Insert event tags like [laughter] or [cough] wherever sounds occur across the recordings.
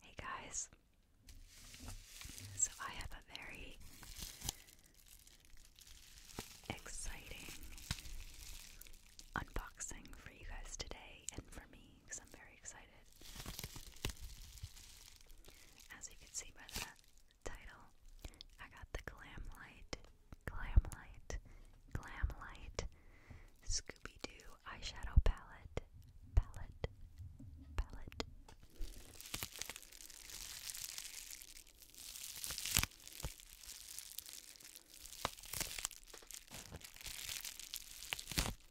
Hey guys, so I have a very exciting unboxing for you guys today and for me because I'm very excited. As you can see by the title, I got the Glam Light, Glam Light, Glam Light Scooby Doo eyeshadow palette, palette, palette.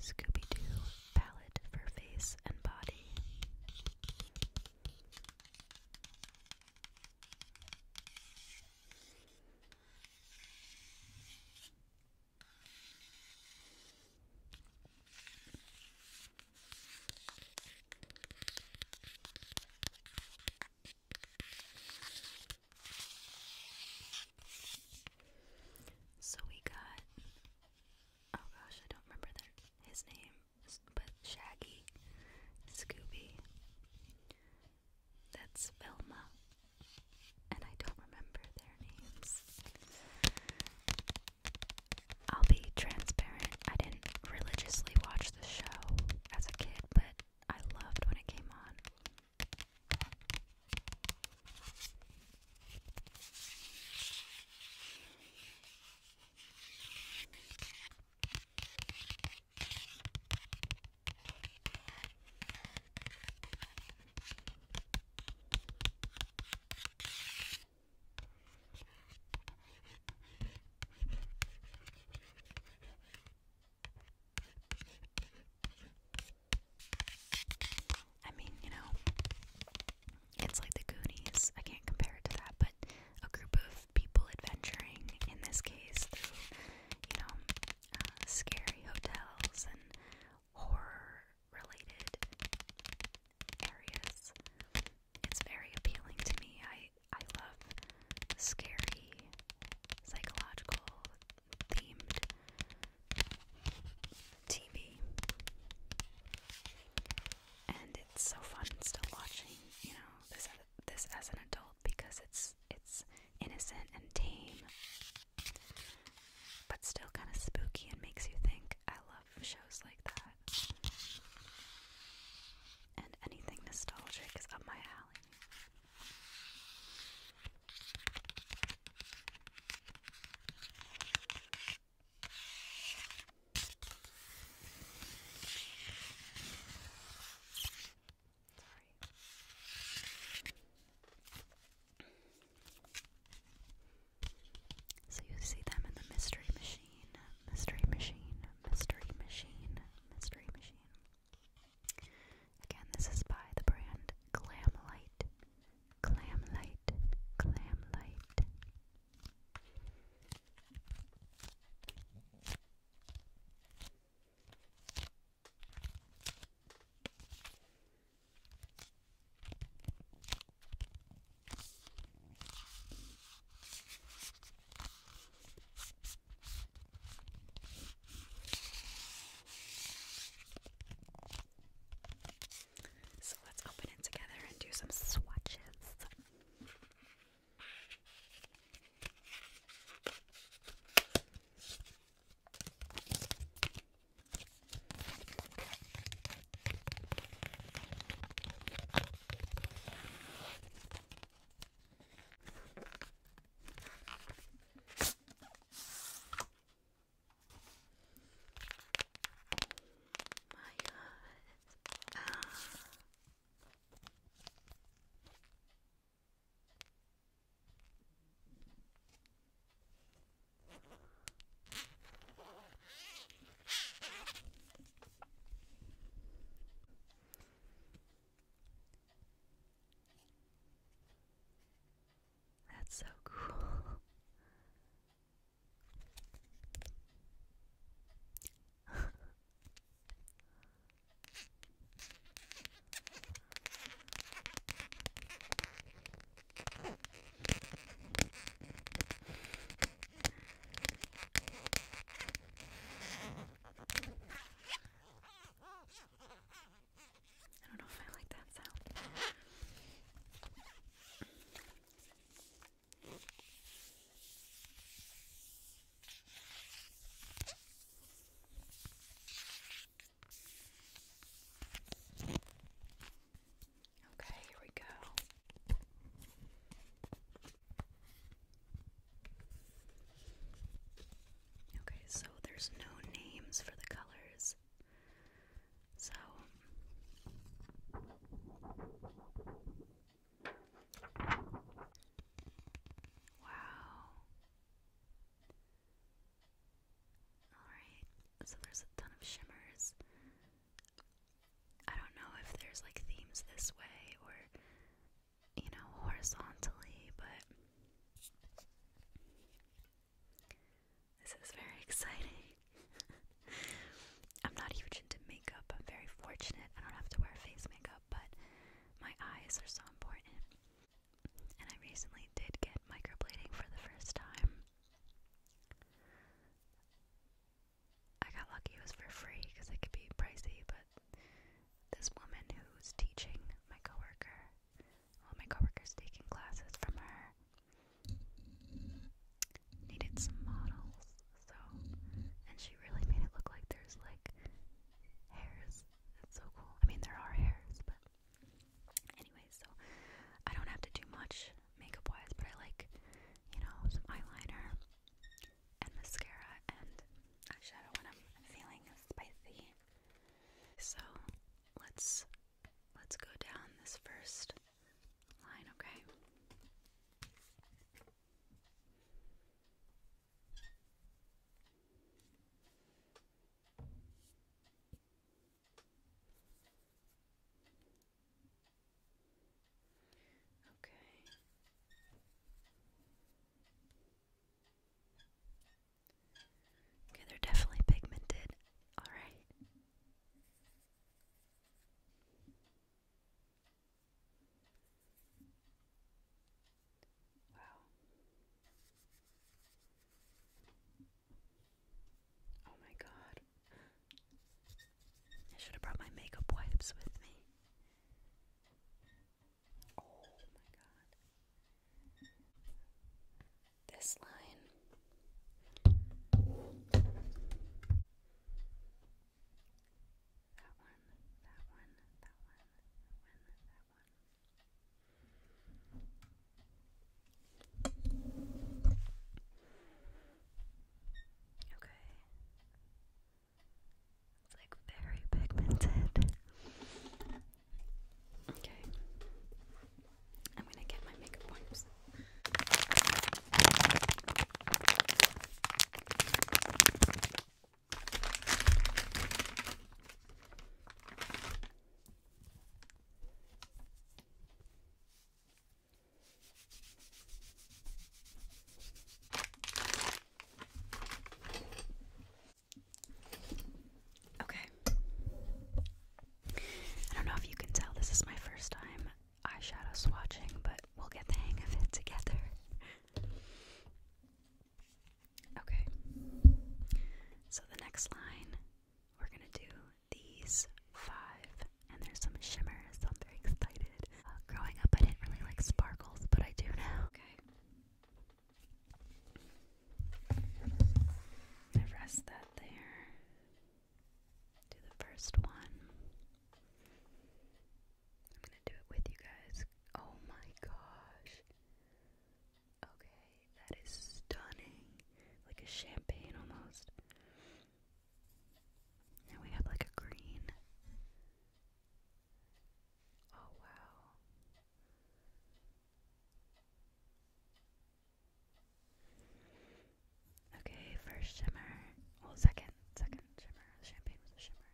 Scooby Doo palette for face and body. So we got oh gosh, I don't remember their, his name, but Shaggy, Scooby, that's Velma. And I don't remember their names. I'll be transparent. I didn't religiously watch the show as a kid, but I loved when it came on. I mean, you know, it's like the Goonies. I can't compare it to that, but a group of people adventuring, in this case, through, you know, uh, scary hotels and horror related areas. It's very appealing to me. I I love scary psychological themed TV. And it's so fun still watching, you know, this this as an adult because it's it's innocent and tame, but still kind of spooky and makes you think. I love shows like that. And anything nostalgic is up my alley. So you see them in the mystery machine, mystery machine, mystery machine, mystery machine. Again, this is by the brand Glam Light. Glam Light. Glam Light. So let's open it together and do some swatches. My God. Ah. That's so cool. I don't know if I like that sound. Okay, here we go. Okay, so there's no names for the colors. So Wow. Alright, so there's a ton of shimmers. I don't know if there's like themes this way or, you know, horizontally, but this is very [laughs] exciting. I'm not huge into makeup. I'm very fortunate. I don't have to wear face makeup, but my eyes are so important. And I recently did get microblading for the first time. I got lucky it was for free because it could be pricey, but this woman who's teaching my coworker, well, my coworker's taking classes from her, needed some models, so, and she really made it look like there's like hairs. That's so cool. I mean, there are hairs, but anyway, so I don't have to do much makeup wise, but I like, you know, some eyeliner and mascara and eyeshadow when I'm feeling spicy. So let's let's go down this first line, okay? Okay. Okay, they're definitely pigmented. All right. Wow. Oh my god. I should have brought my makeup wipes with me. Oh my god. This line that one, that one, that one, that one, that one. Okay. It's like very pigmented. Okay. I'm gonna get my makeup wipes. Okay. I don't know if you can tell, this is my first time eyeshadow swatching, but we'll get the hang of it together. Okay. So the next line, we're going to do these five. And there's some shimmers, so I'm very excited. Uh, growing up, I didn't really like sparkles, but I do now. Okay. I rest that there. Do the first one. I'm gonna do it with you guys. Oh my gosh. Okay, that is stunning. Like a champagne almost. Now we have like a green. Oh wow. Okay, first shimmer. Well, second, second shimmer. champagne was a shimmer.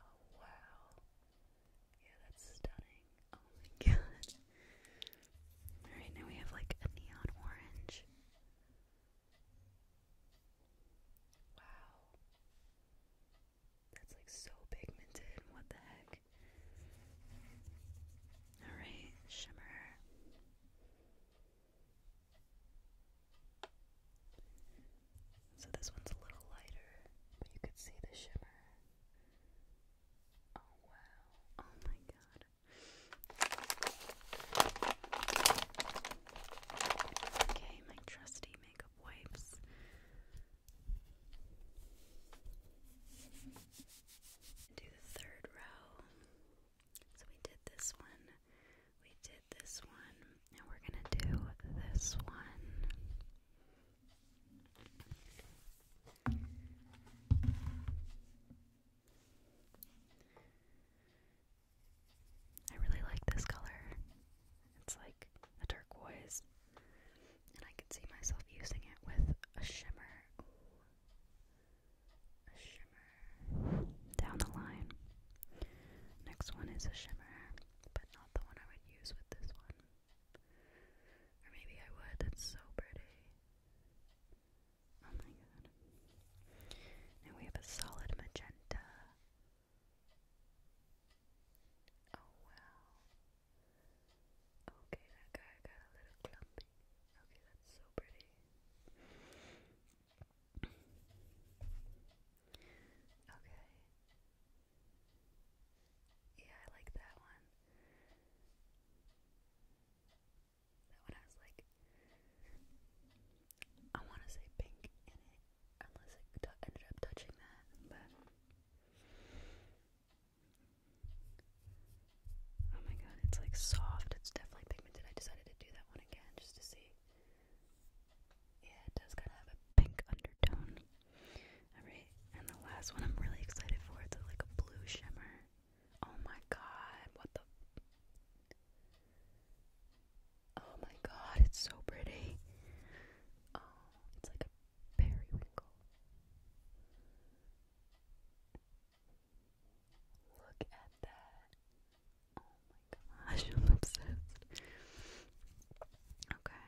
Oh wow. Yeah, that's stunning. Oh my god. [laughs] Alright, now we have like a neon orange. Wow. That's like so pigmented. What the heck? Alright, shimmer. So this one's a little lighter, but you could see the shimmer. Oh wow. Oh my god. Okay, my trusty makeup wipes. Do the third row. So we did this one, we did this one, and we're gonna do this one. I really like this color. It's like a turquoise, and I can see myself using it with a shimmer shimmer down the line. Next one is a shimmer, but not the one I would use with this one. Or maybe I would, that's so pretty. Oh my god. Now we have a solid magenta. Oh wow. Okay, that guy got a little clumpy. Okay, that's so pretty. Okay. Yeah, I like that one. That one has like I want to say pink in it, unless it ended up touching that, but. Oh my god, it's like soft. It's definitely pigmented. I decided to do that one again just to see. Yeah, it does kind of have a pink undertone. Alright, and the last one I'm really excited for. It's like a blue shimmer. Oh my god, what the. Oh my god, it's so pretty. Oh, it's like a periwinkle. Look at that. Oh my gosh, [laughs] I'm obsessed. Okay,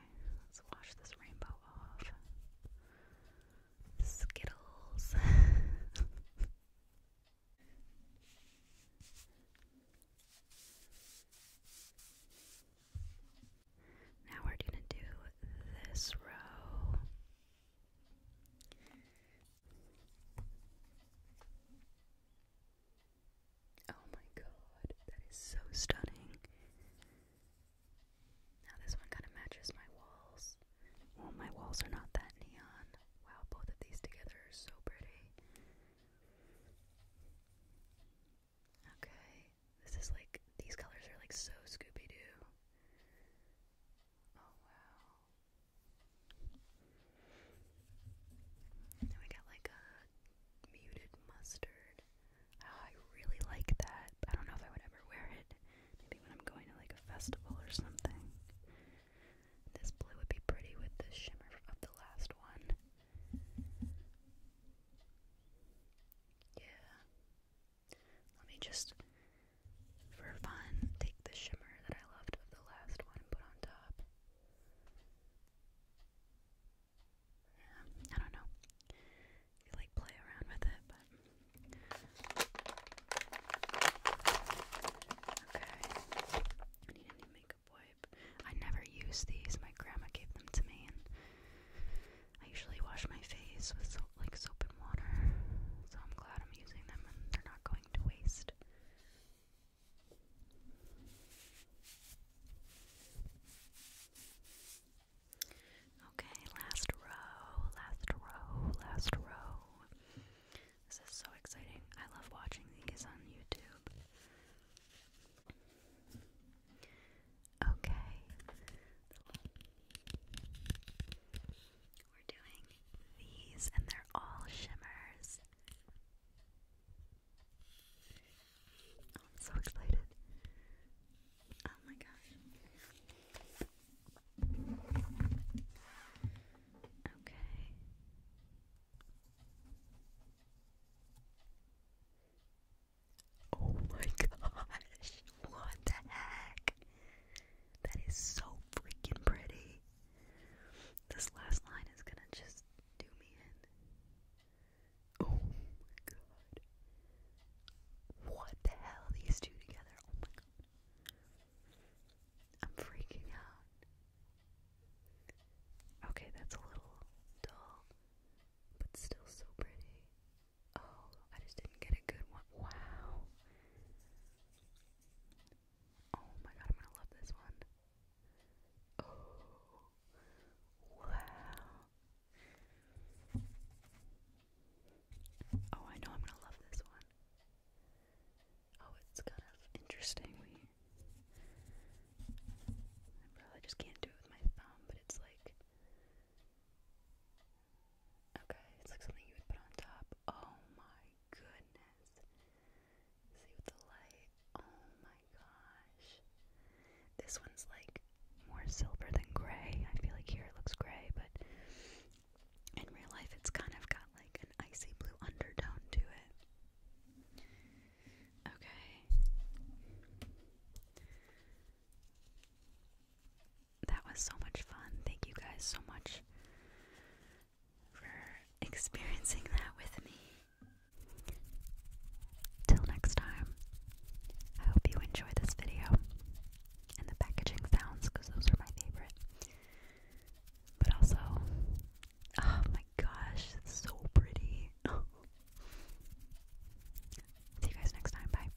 let's wash this rainbow off. Skittles. [laughs] Now we're going to do this row. Oh my god, that is so stunning. Now this one kind of matches my walls. Well, my walls are not that neon. Wow, both of these together are so pretty. Okay, this is like, these colors are like so Scooby Doo. Oh wow we got like a muted mustard. Oh, I really like that. I don't know if I would ever wear it. Maybe when I'm going to like a festival or something. This blue would be pretty with the shimmer of the last one. Yeah. Let me just for fun, take the shimmer that I loved of the last one and put on top. I don't know. You like play around with it, but okay. need a new makeup wipe. I never use these. My grandma gave them to me, and I usually wash my face with soap like soap and water, so I'm glad I'm using them and they're not going to waste. Okay, last row, last row, last row. This is so exciting. I love watching these on YouTube. Okay. We're doing these, and they're all shimmers. I'm so excited. Oh my gosh. Okay. Oh my gosh. What the heck? That is so freaking pretty. This last line is gonna just do me in. Oh my god. What the hell, these two together? Oh I'm freaking out. Okay, that's a little dull, but still so pretty. Oh, I just didn't get a good one. Wow. Oh my god, I'm gonna love this one. Oh, wow. Oh, I know I'm gonna love this one. Oh, it's kind of interesting. I probably just can't do it with my thumb, but it's like Okay, it's like something you would put on top. Oh my goodness. See with the light. Oh my gosh. This one's like more silver than gray. I feel like here it looks gray, but in real life it's kind of got like an icy blue undertone to it. Okay that was so much fun. Thank you guys so much for experiencing that with me. Till next time, I hope you enjoy this video and the packaging sounds because those are my favorite. But also, oh my gosh, so pretty. [laughs] See you guys next time. Bye.